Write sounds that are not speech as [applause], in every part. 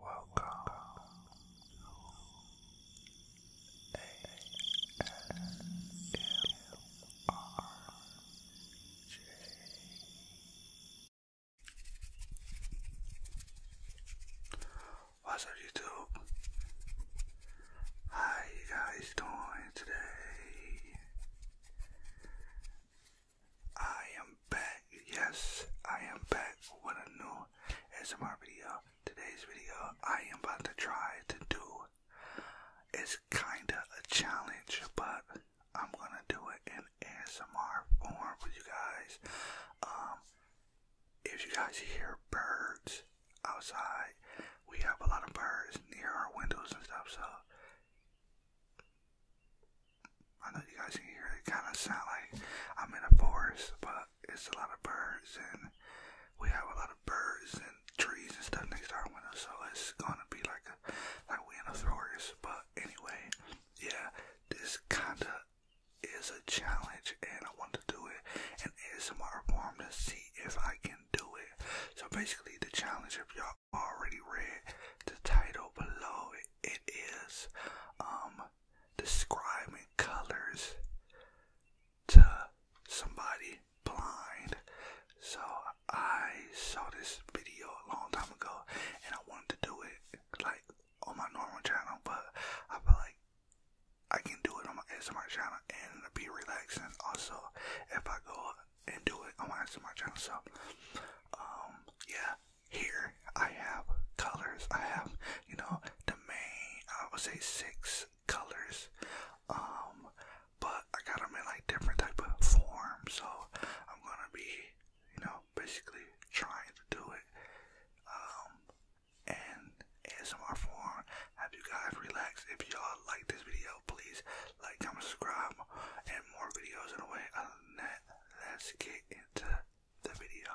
Welcome to What's up, YouTube? How you guys doing today? I am back. Yes, I am back with a new ASMR video. Today's video, I am about to try to do. It's kinda a challenge, but I'm gonna do it in ASMR form for you guys. Um, if you guys hear birds outside, we have a lot of birds near our windows and stuff. So I know you guys can hear it, kind of sound like I'm in a forest, but it's a lot of birds, and we have a lot of birds and trees and stuff next to our window, so it's gonna be like a like we in a forest. But anyway, yeah, this kinda is a challenge, and I want to do it in ASMR form to see if I can do it. So basically, the challenge, if y'all already read the title below, it is um describing colors to somebody blind. So I saw this video a long time ago and I wanted to do it like on my normal channel, but I feel like I can do it on my S M R channel and it'll be relaxing also if I go and do it on my S M R channel. So, um, yeah, here I have colors. I have, you know, the main, I would say six colors. Um, but I got them in like different type of forms. So I'm gonna be, you know, basically trying to do it. Um, and ASMR form. Have you guys relaxed? If y'all like this video, please like, comment, subscribe, and more videos in a way. Other than that, let's get into the video.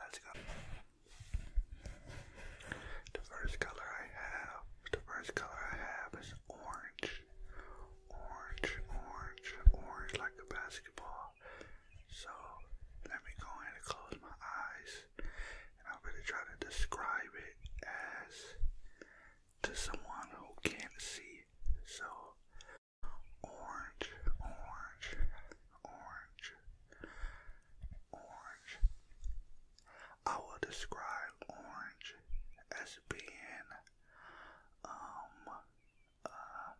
Let's go. The first color I have, the first color I have is orange. Orange, orange, orange like a basketball. So let me go ahead and close my eyes and I'm gonna try to describe it as to someone who can't see. So orange, orange, orange, orange. I will describe orange as being um uh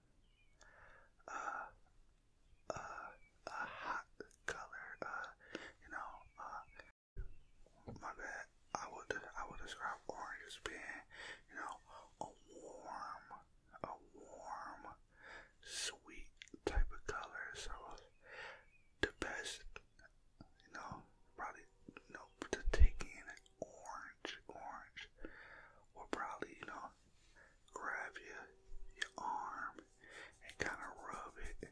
uh uh a hot color, uh you know, uh my bad. I would I would describe orange as being, you know, a warm, a warm, sweet type of color. So the best, you know, probably you to take in an orange, orange will probably you know grab your your arm and kind of rub it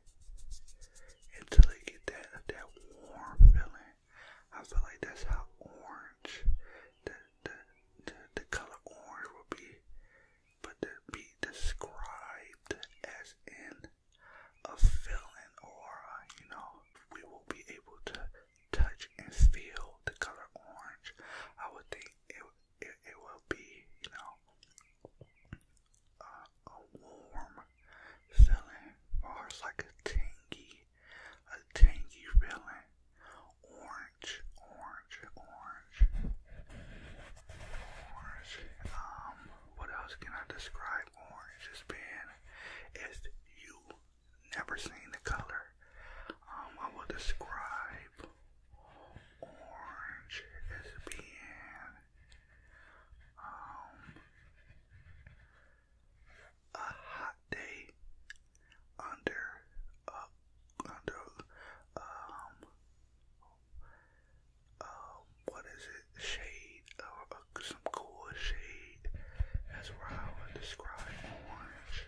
until it get that that warm feeling. I feel like that's how orange the the the, color orange will be, but to be described as in a feeling or you know we will be able to touch and feel the color orange. I would think it it, will be you know. a warm feeling, or like a tingy a tangy feeling. Orange, orange, orange. Orange. Um, what else can I describe orange as being? Is you never seen the color. Um, I will describe orange as being um a hot day under uh, under um um what is it shade or uh, some cool shade that's where I would describe orange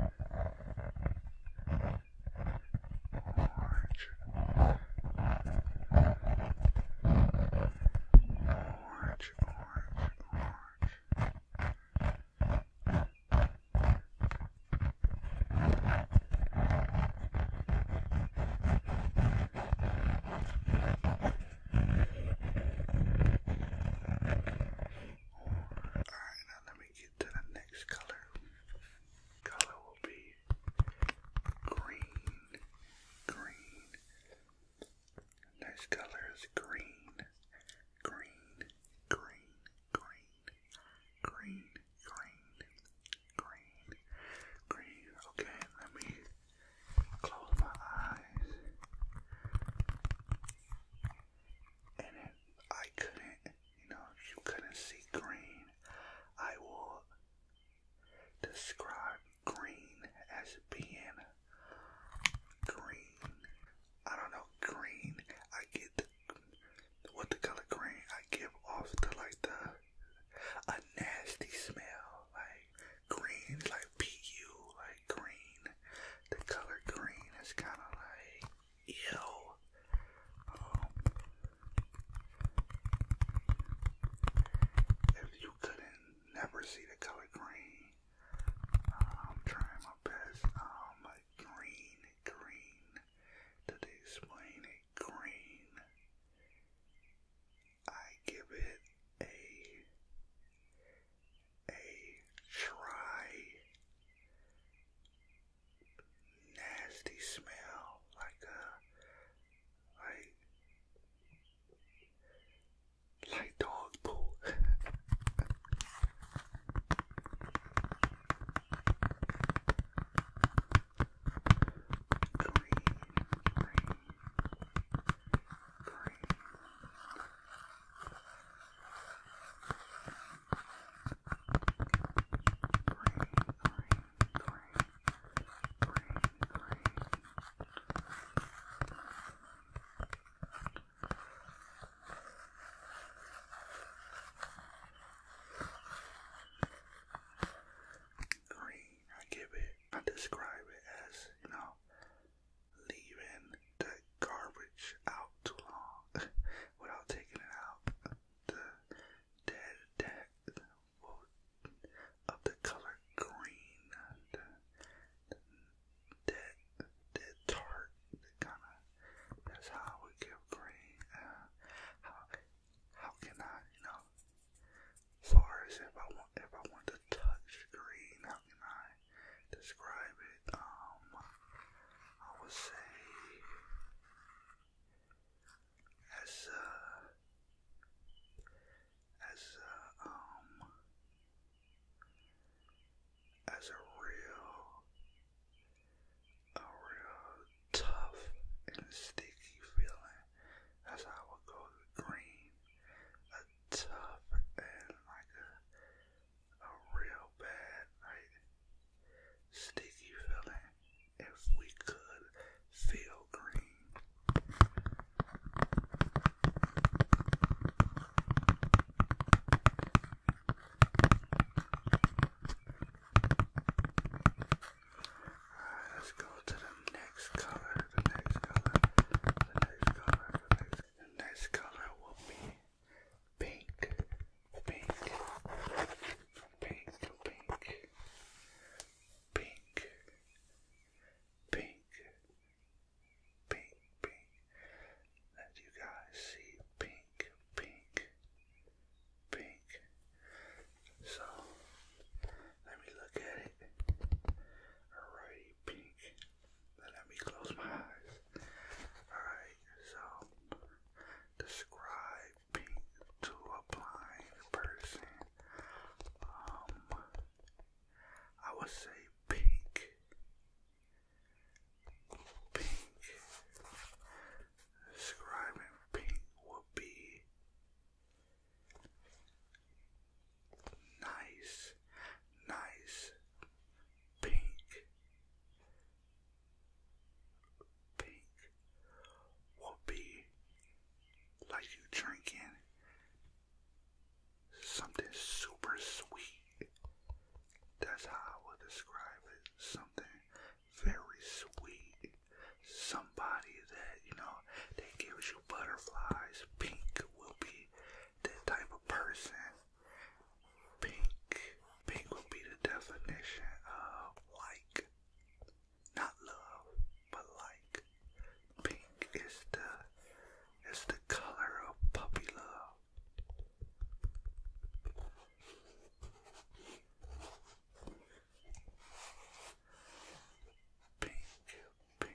orange orange, orange, orange, Alright, now let me get to the next color. Color will be green, green. Next color is green, green, green, green, green, green, green, green. Okay, let me close my eyes. And it, I couldn't you know, you couldn't see green, I will describe green as being green. I don't know, green. I get what the color green. I give off the like the a nasty smell, like green, like pu, like green. The color green is kind of like Ew. Um, if you couldn't never see the color green, uh, I'm trying my best. Um, green, green. Did explain it? Green. I give it a a try nasty smell, like a uh, like like dog poo. [laughs] green, Green, I give it, I describe it as, you know, leaving the garbage out too long [laughs] without taking it out the dead, dead of the color green, the, dead, dead tart, kind of, that's how I would give green, uh, how, how can I, you know, far as if I want, if I want to touch green, how can I describe it, um, I would say, as uh, as uh, um as a real a real tough and sticky feeling. That's I would go with green. A tough and like a a real bad, sticky feeling if we could feel green. Alright, let's go to the next color, the next color, the next color, the next color will be pink, pink, pink to pink, pink, pink, pink, pink. Let you guys see pink, pink, pink. So let me look at it. Alrighty, pink. Let me close my eyes. Alright. Educate Describing to a blind person. Um, I would say pink. Pink. Describing pink would be nice, nice, pink, pink will be like you drinking something super sweet. That's how I would describe it. Something very sweet. Somebody that, you know, that gives you butterflies. Pink will be that type of person Pink. Pink would be the definition of like. Not love, but like. Pink is the is the color of puppy love. Pink, pink,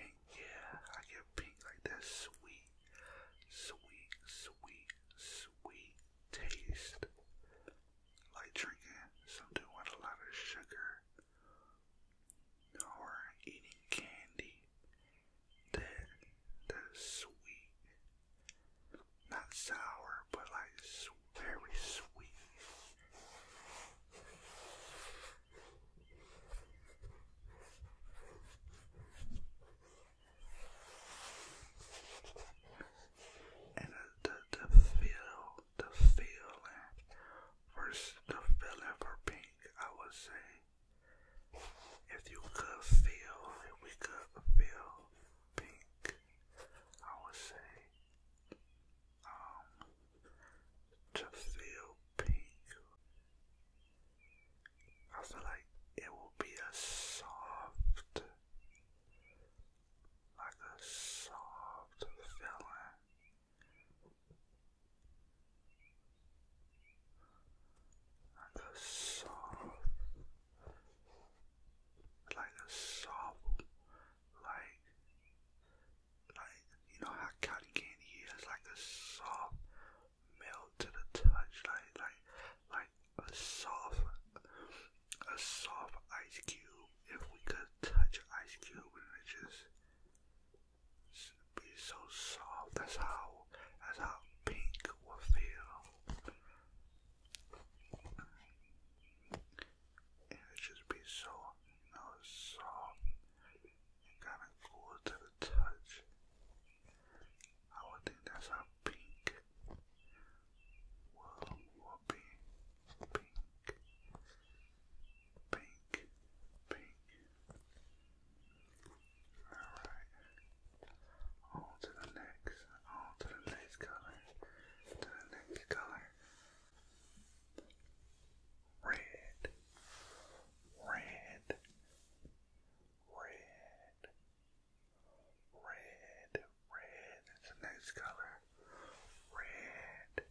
pink, yeah, I get pink like that sweet, sweet, sweet, sweet taste. Like drinking something with a lot of sugar or eating candy. That that sweet, not sour, but like very sweet. And the, the, feel, the feeling, first the feeling for pink, I would say, if you could feel, if we could feel pink, I would say, um, to feel pink I feel like it will be a soft, like a soft feeling. Like a soft, like a soft, like like you know how cotton candy is like a soft melt to the touch, like like like a soft a soft ice cube. If we could touch ice cube and it just be so soft, that's how that's how pink will feel. And it should be so, you know, soft and kind of cool to the touch. I would think that's how pink will, will Pink, pink, pink. Alright. to the next, on to the next color, to the next color red, red, red, red, red. It's a nice color. Red,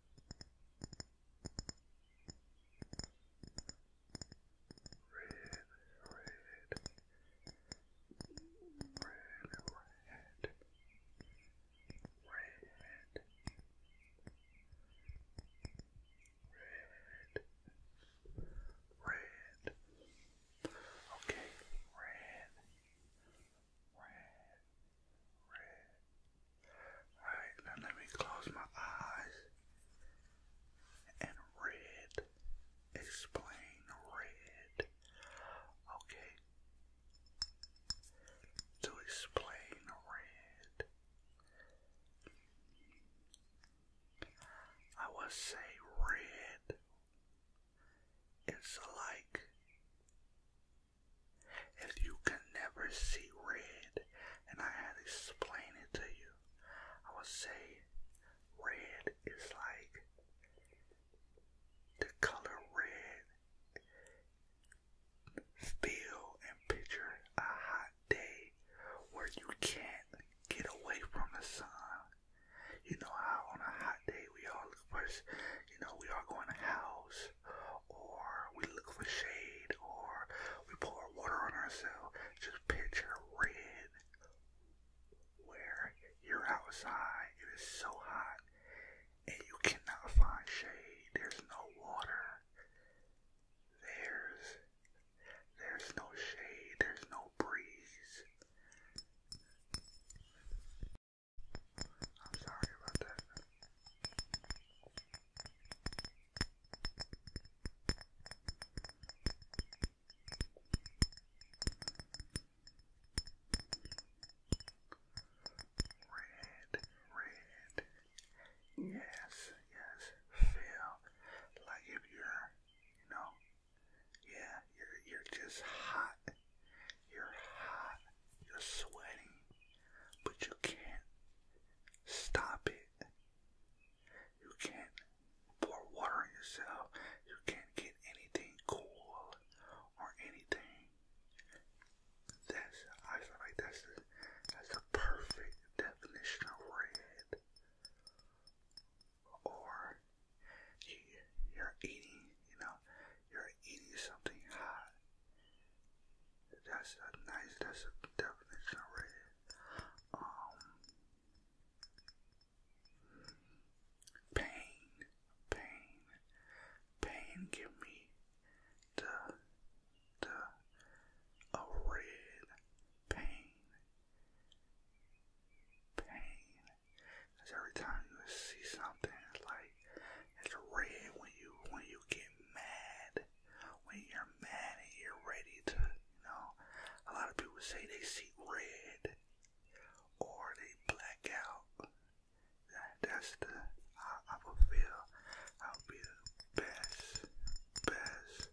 red, red, red, okay, red, red red. now let me close my eyes and red. Explain red. Okay. To explain red, I would say red. It's like if you can never see red and I had to explain it to you, I would say red is like the color red. Feel and picture a hot day where you can't get away from the sun. You know how on a hot day we all look you know, we are going to house, or we look for shade, or we pour water on ourselves. Just picture red, where you're outside, it is so hot, and you cannot find shade. There's no water. There's, there's no shade. There's no breeze. I'm sorry about that. Red, red. Yes, yes. Feel like if you're, you know, yeah, you're you're just hot. You're hot, you're sweating, but you can't stop it. You can't pour water on yourself. You can't get anything cool or anything. That's I feel like that's the that's the perfect definition of red. Or you're eating, you know, you're eating something hot. That's a nice, that's a definition of Um, pain, pain, pain give me the, the, a red pain, pain, Cause every time you see something, it's like it's red when you when you get mad. When you're mad and you're ready to, you know, a lot of people say they see red or they black out. that's the how I feel I'll be the best, best.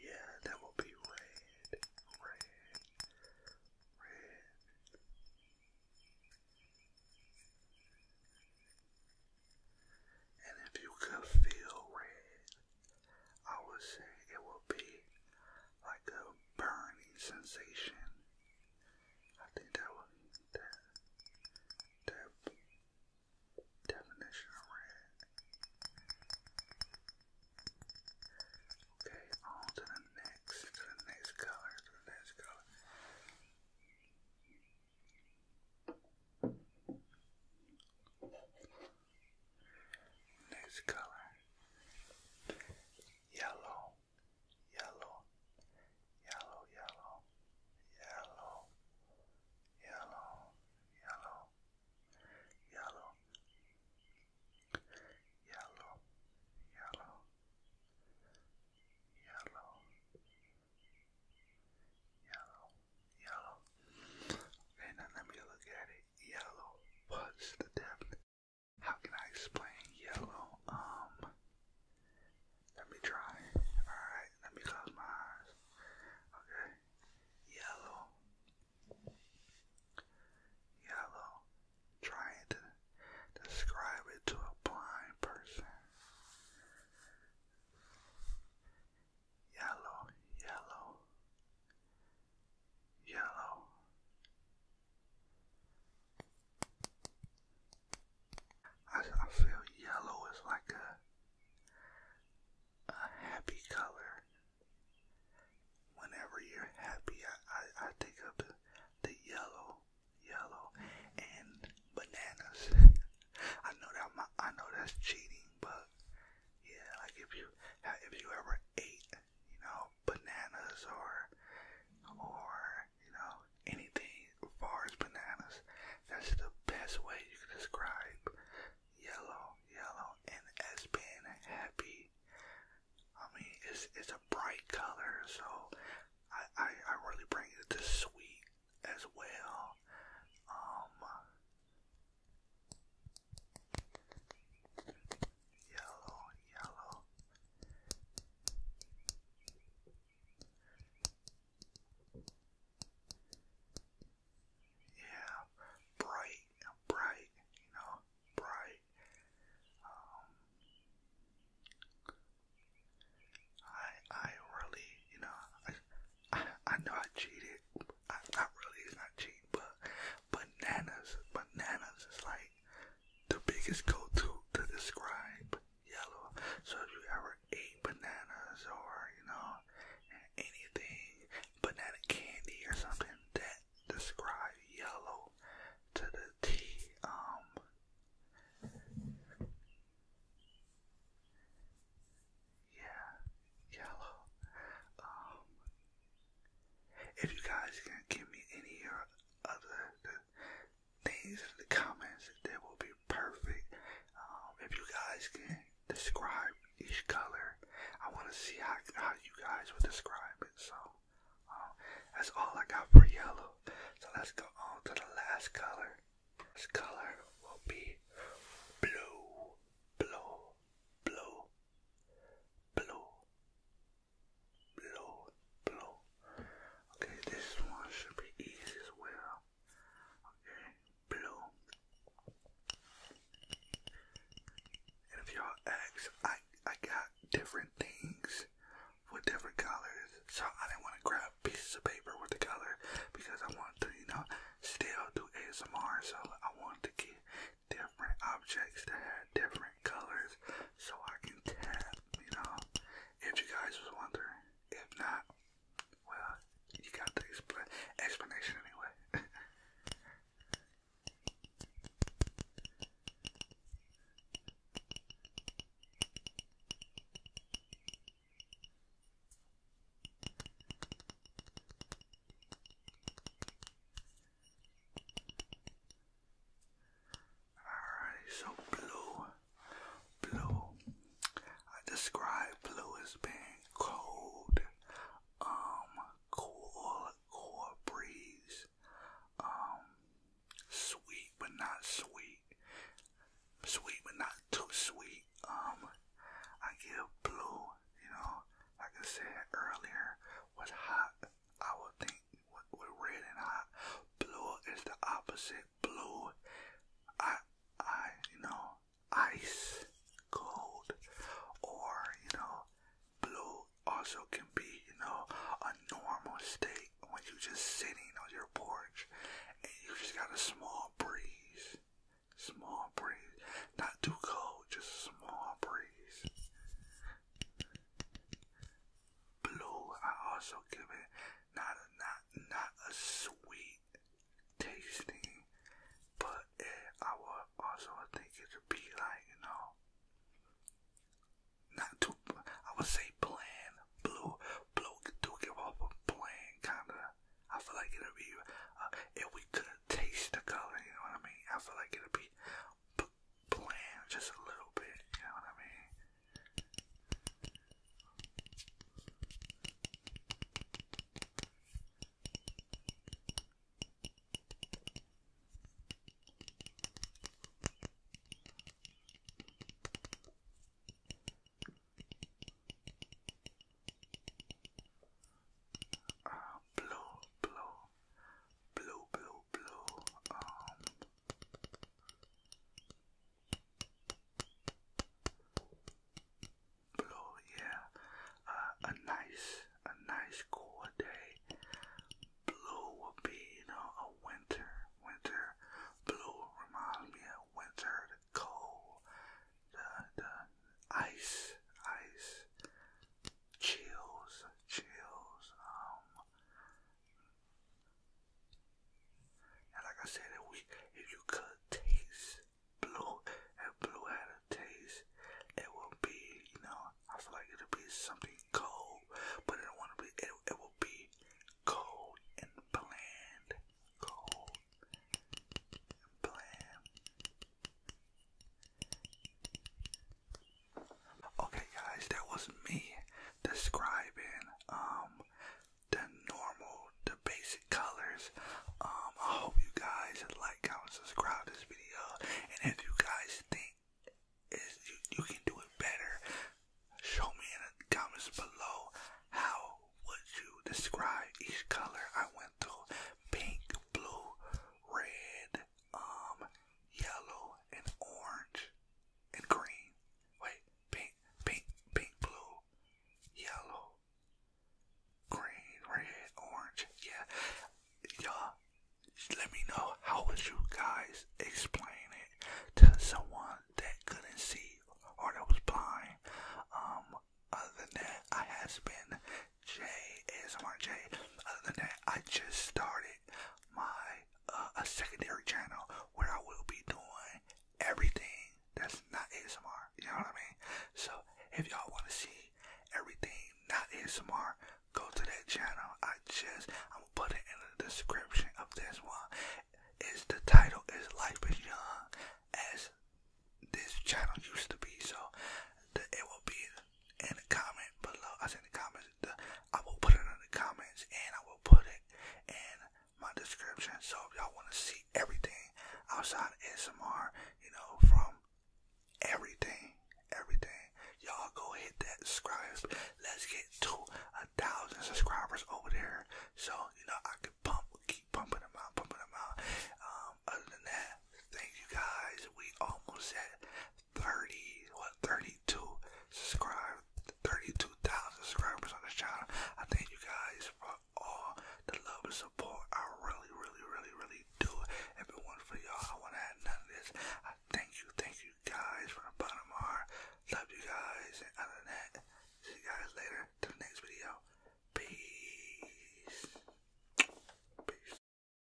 Yeah, that will be red, red, red. And if you could feel red, I would say it would be like a burning sensation. I think that would that that Definition of red. Okay, on to the next, to the next color, to the next color. Next color. Yellow. Yellow. Yellow, yellow yellow, yellow, yellow, yellow, yellow, yellow, yellow, yellow, yellow. Okay, now let me look at it. Yellow. What's the depth? How can I explain yellow? Um, let me try. Alright, let me close my eyes. Okay. Yellow. Yellow. Trying to describe it to a blind person. Yellow, yellow, yellow, I, I feel yellow is like a a happy color. Whenever you're happy, I I, I take up the the yellow, yellow, and bananas. [laughs] I know that my, I know that's cheating, but yeah, like if you if you ever ate, you know, bananas or or you know, anything as bananas. That's the best way you can describe yellow, yellow, and as being happy. I mean, it's it's a bright color, so I I, I really bring it to sweet as well. Um, yellow, yellow. Yeah, bright, bright, you know, bright. Um, I, I really, you know, I, I, know I cheated. I, really, it's not cheating, but bananas, bananas is like the biggest go-to to describe yellow. So if you ever ate bananas or, you know, anything, banana candy or something that describes yellow to the T, um, yeah, yellow, um, if you guys can give me any other things in the comments. That will be perfect. Um, if you guys can describe each color, I want to see how, how you guys would describe it. So um, that's all I got for yellow. So let's go on to the last color. This color will be blue, blue, blue, blue, Blue, blue. Okay, this one should be easy as well. Okay, blue. And if y'all ask, I I got different things with different colors, so I didn't want to grab pieces of paper with the color because I wanted to, you know, still do ASMR. So I wanted to get different objects that had different different colors so I can tap, you know, if you guys was wondering. If not, well, you got the expl explanation anyway. Alrighty, so blue. Blue. I describe blue as being cold, um, cool, cool breeze, um, sweet but not sweet, sweet but not too sweet. Um, I give blue, you know, like I said earlier, was hot, I would think with, with red and Blue is the opposite. Blue, I, I, you know, ice cold, or you know, blue also can be, you know, a normal state when you're just sitting on your porch and you just got a small breeze, small breeze, not too cold, just a small breeze blue. I also give it not a not not a sweet tasting, but it, I would also think it would be like you know not too. I would say plain blue. Blue do give off a plain kind of. I feel like it would be uh, if we could taste the color. You know what I mean? I feel like it'll be plan just a little bit, you know what I mean? blue, blue, blue, blue, blue. Um, blue, yeah. Uh, a nice, a nice cool day. Blue would be, you know, a winter, winter. Blue reminds me of winter, the cold, the the ice, ice, chills, chills. Um, and like I said, if you could taste blue and blue had a taste, it would be, you know, I feel like it would be something cold, but it wanna be it it will be cold and bland. Cold and bland. Okay, guys, that was me describing um, the normal, the basic colors. Um, I hope you guys like, comment, subscribe this video, and if you guys think you can do it better, show me in the comments below how would you describe each color I went through: pink, blue, red, um, yellow and orange and green. Wait, pink, pink, pink, blue, yellow, green, red, orange. Yeah, y'all, let me know how would you guys explain it to someone that couldn't see or that was blind. Um, other than that, I has been J ASMR J. Other than that, I just started my uh, a secondary channel where I will be doing everything that's not ASMR. You know what I mean? So if y'all want to see everything not ASMR, go to that channel. I just I'm gonna put it in the description of this one. Is the title is Life is Young as this channel used to be. So the, it will be in the comment below. I said the comments. I will put it in the comments and I will put it in my description. So if y'all want to see everything outside of S M R, you know, from everything, everything, y'all go hit that subscribe. Let's get to a thousand subscribers over there. So, you know, I can pump, keep pumping them out, pumping them out. Um, other than that, thank you guys. We almost at 30, what, 32 subscribers, 32,000 subscribers on this channel. I thank you guys for all the love and support. I really, really, really, really do. If for y'all, I wouldn't have none of this. I thank you, thank you guys from the bottom of my heart. Love you guys, and other than that, see you guys later to the next video. Peace. Peace.